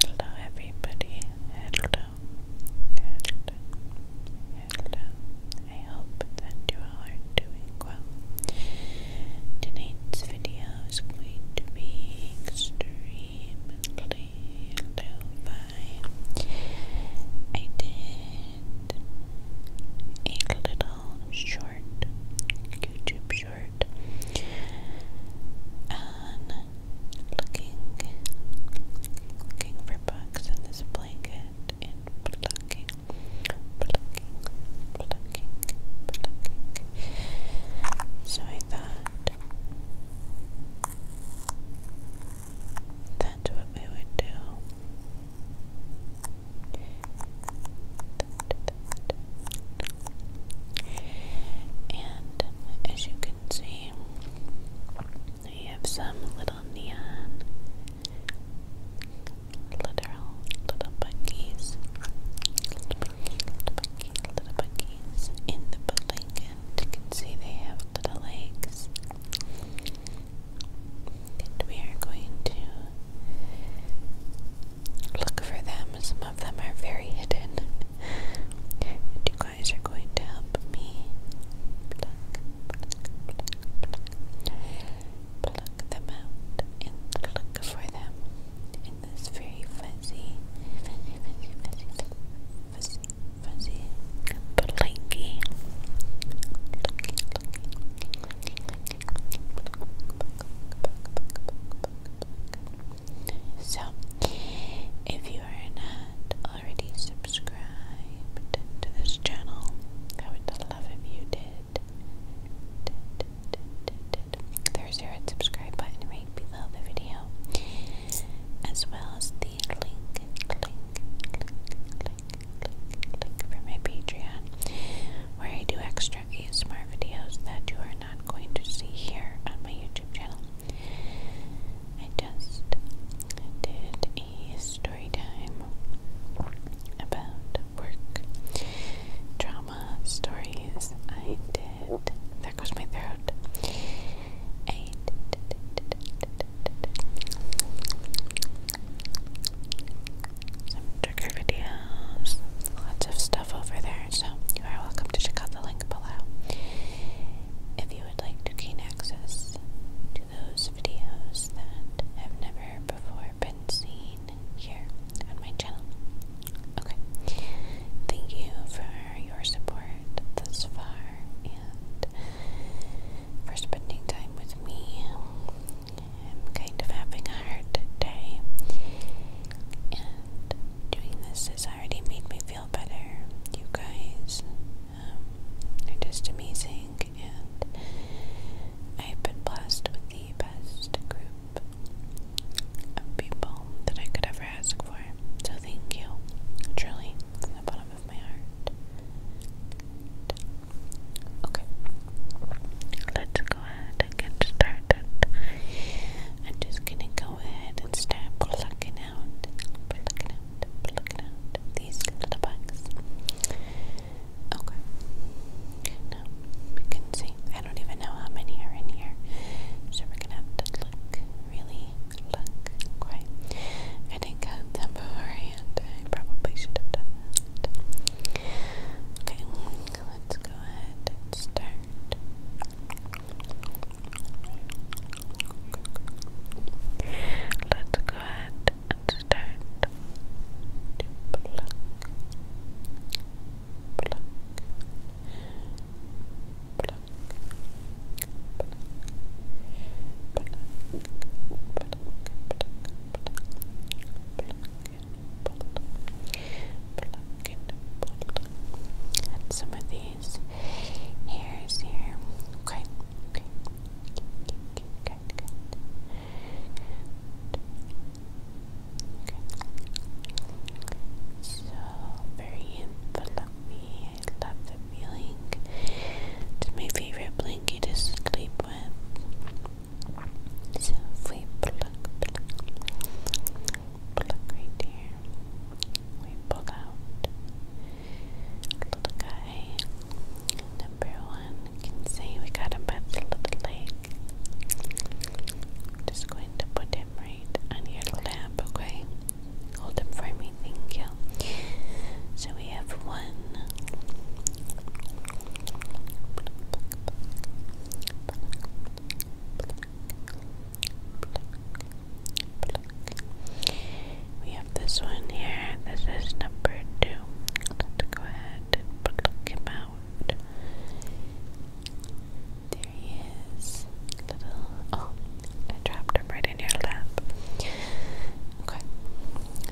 Hello everybody, hello, hello, hello, I hope that you are doing well. Tonight's video is going to be extremely low I did a little short YouTube and looking looking for bugs in this blanket and plucking plucking plucking plucking so I thought that's what we would do. And as you can see, you have some little neon little buggies. Little buggy, little buggy, little buggies in the building and you can see they have little legs. And we are going to look for them. Some of them are very hidden. And you guys are going to help me pluck, them out and look for them in this very fuzzy, fuzzy, fuzzy, fuzzy, fuzzy, fuzzy, blanky. So, if you are not already subscribed to this channel, I would love if you did. There's your red subscribe button right below the video, as well as the link, link, link for my Patreon, where I do extra extra ASMR videos that you are not going to see here on my YouTube channel. I just did a story time about work drama stories. I did. There goes my throat trigger videos, lots of stuff over there. So you are welcome to check out the link below if you would like to gain access to those videos that have never before been seen here on my channel. Okay, thank you for your support thus far and for spending time with me. I'm kind of having a hard day, doing this has already made me feel better. You guys um, are just amazing, and I've been blessed with the best group of people that I could ever ask for. So thank you, truly, from the bottom of my heart. Okay, let's go ahead and get started. I'm just gonna go ahead and start plucking out, plucking out, plucking out these little bugs. Okay. Now we can see. I don't even know how many are in here, so we're gonna have to look, really look. Quite. I didn't count them beforehand. I probably should have done that. Okay let's go ahead and start. Let's go ahead and start some of these hairs here. Okay. So very fluffy. I love the feeling. It's my favorite blanket to sleep with. So we pluck, pluck, right here, we pull out little guy. Number one, you can see we got him little leg. just going to put him right on your lap, okay? Hold him for me, thank you. So we have one. We have this one here. This is number two. Let's go ahead and pluck him out. There he is. Little oh, I dropped him right in your lap. Okay.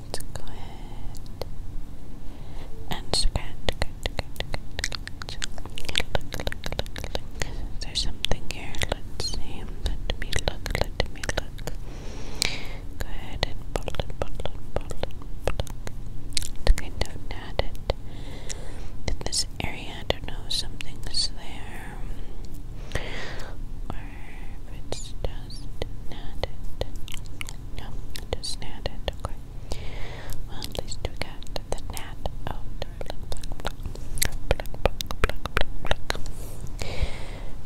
Let's go ahead and scratch, there's something here? Let's see. Let me look. Let me look. Go ahead and pull it, pull it, in this area. I don't know. Something's there. Or if it's just knotted. No, just knotted. Okay at least we got the gnat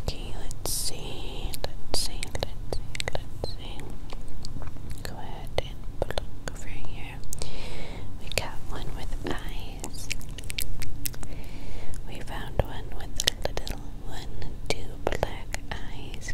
Okay, let's see. Let's see. Let's see. Let's see. Go ahead and pluck over here. We got one with eyes. We found one with little one, two black eyes.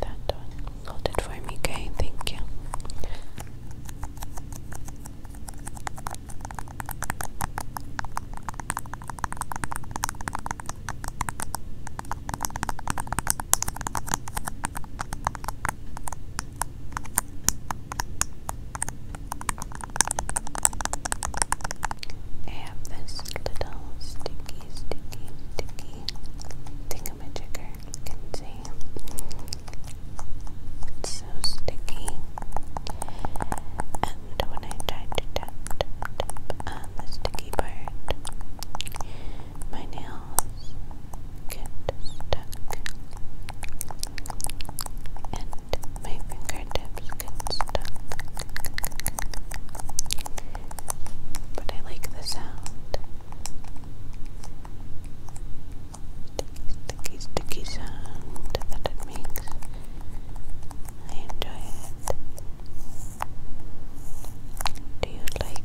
that one. Hold it for me, okay? Thank you. I have this little sticky, sticky, sticky thing my trigger. can see it's so sticky. And when I tried the sticky part, my nails get stuck. And my fingertips get stuck. But I like the sound sticky, sticky sound that it makes. I enjoy it. Do you like,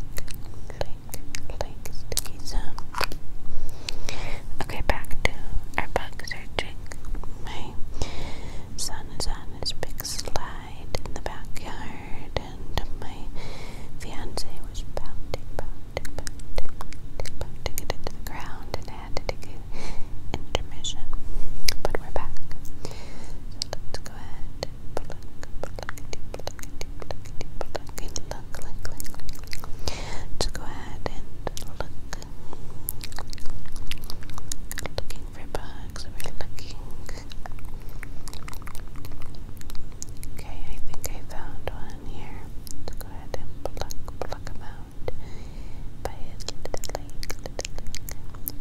like, like sticky sound? Okay, back to our bug searching. My son is on his big slab in the backyard, and my fiance was pounding, pounding, pounding, it into the ground, and had to take an intermission. But we're back. let's go ahead Let's go ahead and look for We're looking. Okay, I think I found one here. Let's go ahead and pluck, pluck him out by his If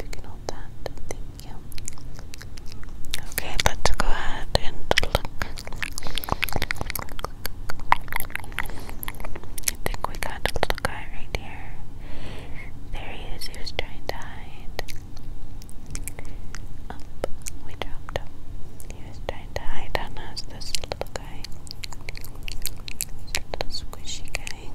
you can hold that, thank Okay, let's go ahead and look. I think we got a little guy right here. There he is, he was trying to hide. Up, we dropped him. He was trying to hide on us, this little guy. This little squishy guy.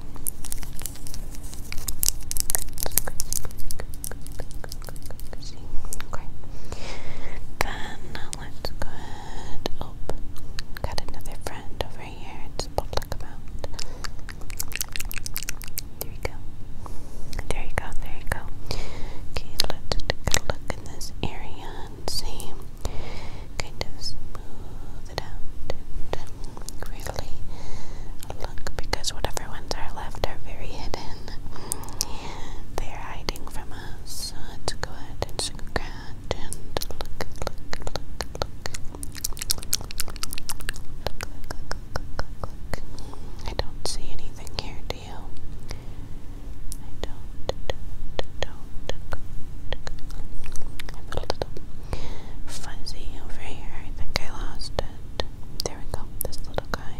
Then uh, let's go ahead. Oh, got another friend over here. It's public amount. There you go. There you go. There you go. Okay, let's take a look in this area and see. Kind of smooth it out really look because whatever ones are left are very hidden. They are hiding from us. So let's go ahead and scratch and look, look, look, look. I don't see anything here, do you? I do a little fuzzy over here. I think I lost it. There we go. This little guy.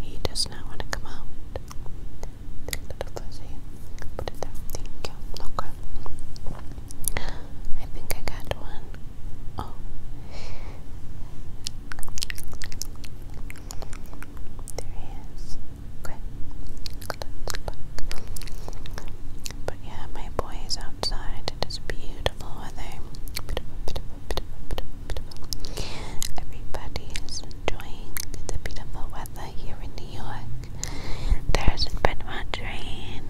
He does not want to come out. Little fuzzy. Put it there. Thank you. Okay. I think I got one. Oh. There he is. Okay. But yeah, my boy is outside. It is beautiful weather. Everybody is enjoying the beautiful weather here in New York. There hasn't been much rain,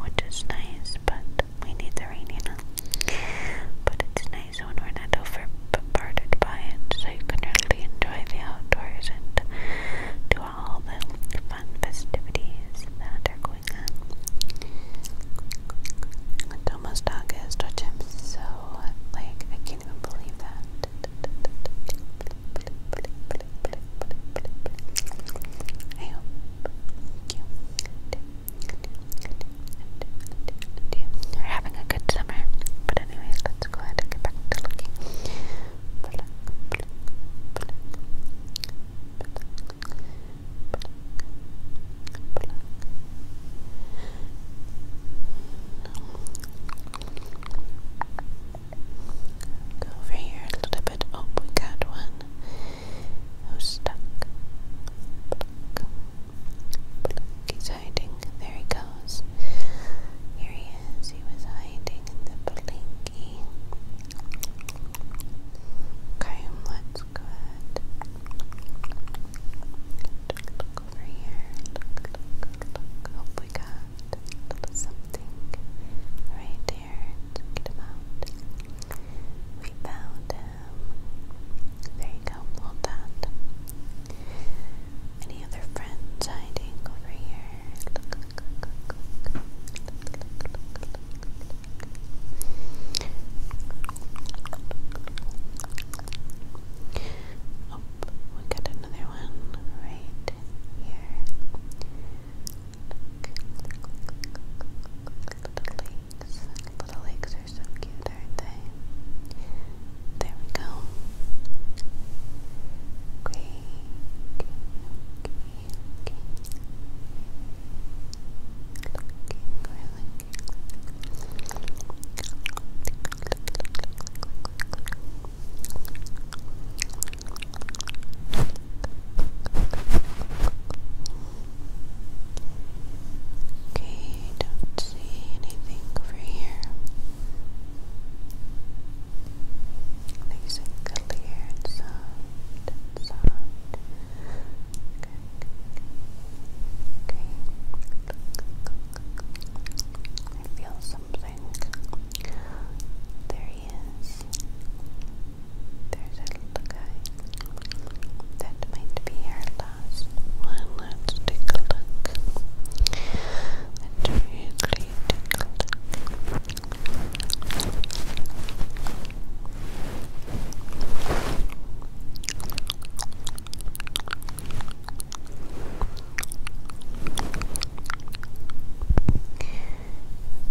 which is nice, but we need the rain, you know. But it's nice when we're not over bombarded by it, so you can really enjoy the outdoors and do all the fun festivities that are going on. It's almost August, which I'm so like, I can't even believe that. I hope you're having a good summer. But anyways, let's go ahead and get back to looking. Go over here a little bit. Oh, we got one who's oh, stuck. He's hiding. There he goes. Here he is. He was hiding in the blinky. Okay, let go ahead. over here. Hope we got something right we found him. There you go, hold that. Any other friends hiding over here? Oh, we got another one right here. Little lakes. Little lakes are so cute, aren't they? There we go. Okay, okay, okay, okay. Looking, Okay, don't see anything over here. Nice and clear Okay. I feel something. There he is. There's a little guy. That might be our last one. Let's take a look. Let's take a look.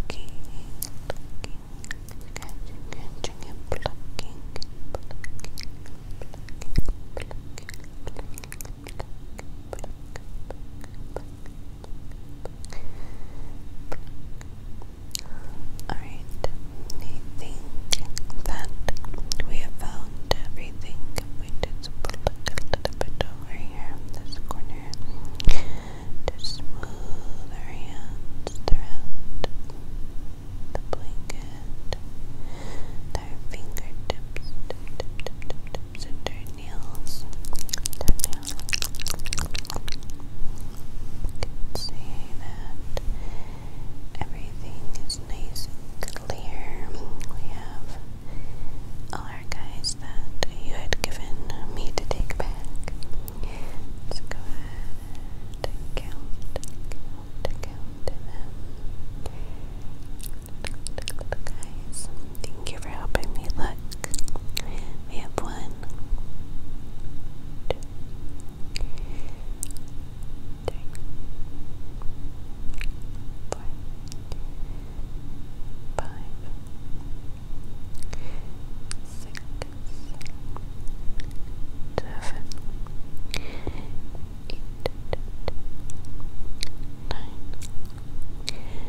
Plucking, plucking, Alright, I that we have found everything. If we just pluck a little bit here this corner to smooth our hands throughout the blanket, and fingertips, tips, and our nails, and our that everything is nice and clear. We have all our guys that you had given me to take back. Let's go ahead and count, count, count them. Guys, thank you for helping me look. We have one, two, three, six, seven, eight, nine, ten,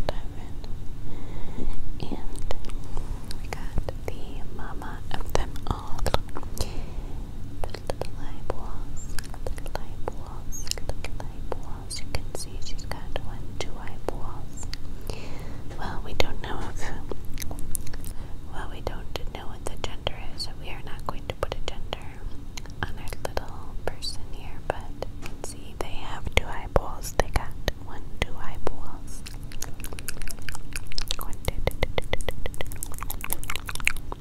eleven, and we got the mama of them all. The little eyeballs, the little eyeballs, the little eyeballs walls. You can see she's got one, two high walls. Well, we don't know if. Well, we don't know what the gender is, so we are not going to put a gender on our little person here. But you can see they have two high balls. They got one, two high balls. One, two, two, two, two, two, two, two.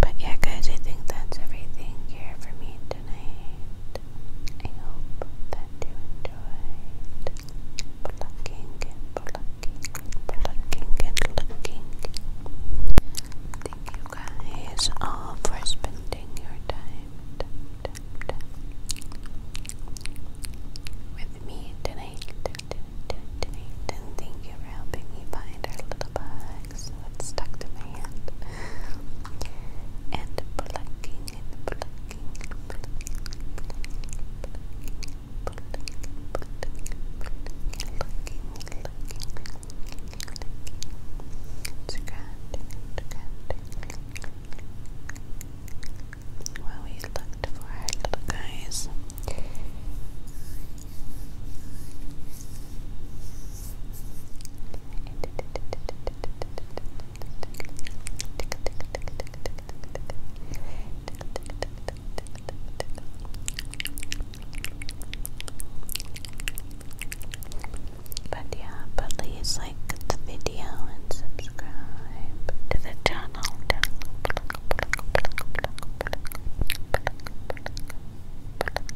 But yeah, guys, I think that's everything here for me tonight. I hope that you enjoyed plucking and plucking, plucking and plucking. Thank you guys all for spending your time, with me tonight, tonight, and thank you for helping me find our little bud it's stuck to my hand. And plucking and plucking, plucking, plucking, plucking, plucking, plucking, plucking, plucking, scratching, scratching. Well, we looked for our little guys. But yeah, please like the video and subscribe to the channel.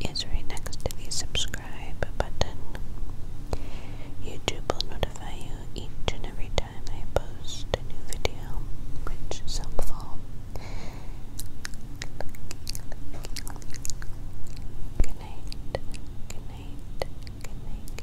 it's right next to the subscribe button. YouTube will notify you each and every time I post a new video, which is helpful. Good night. Good night. Good night.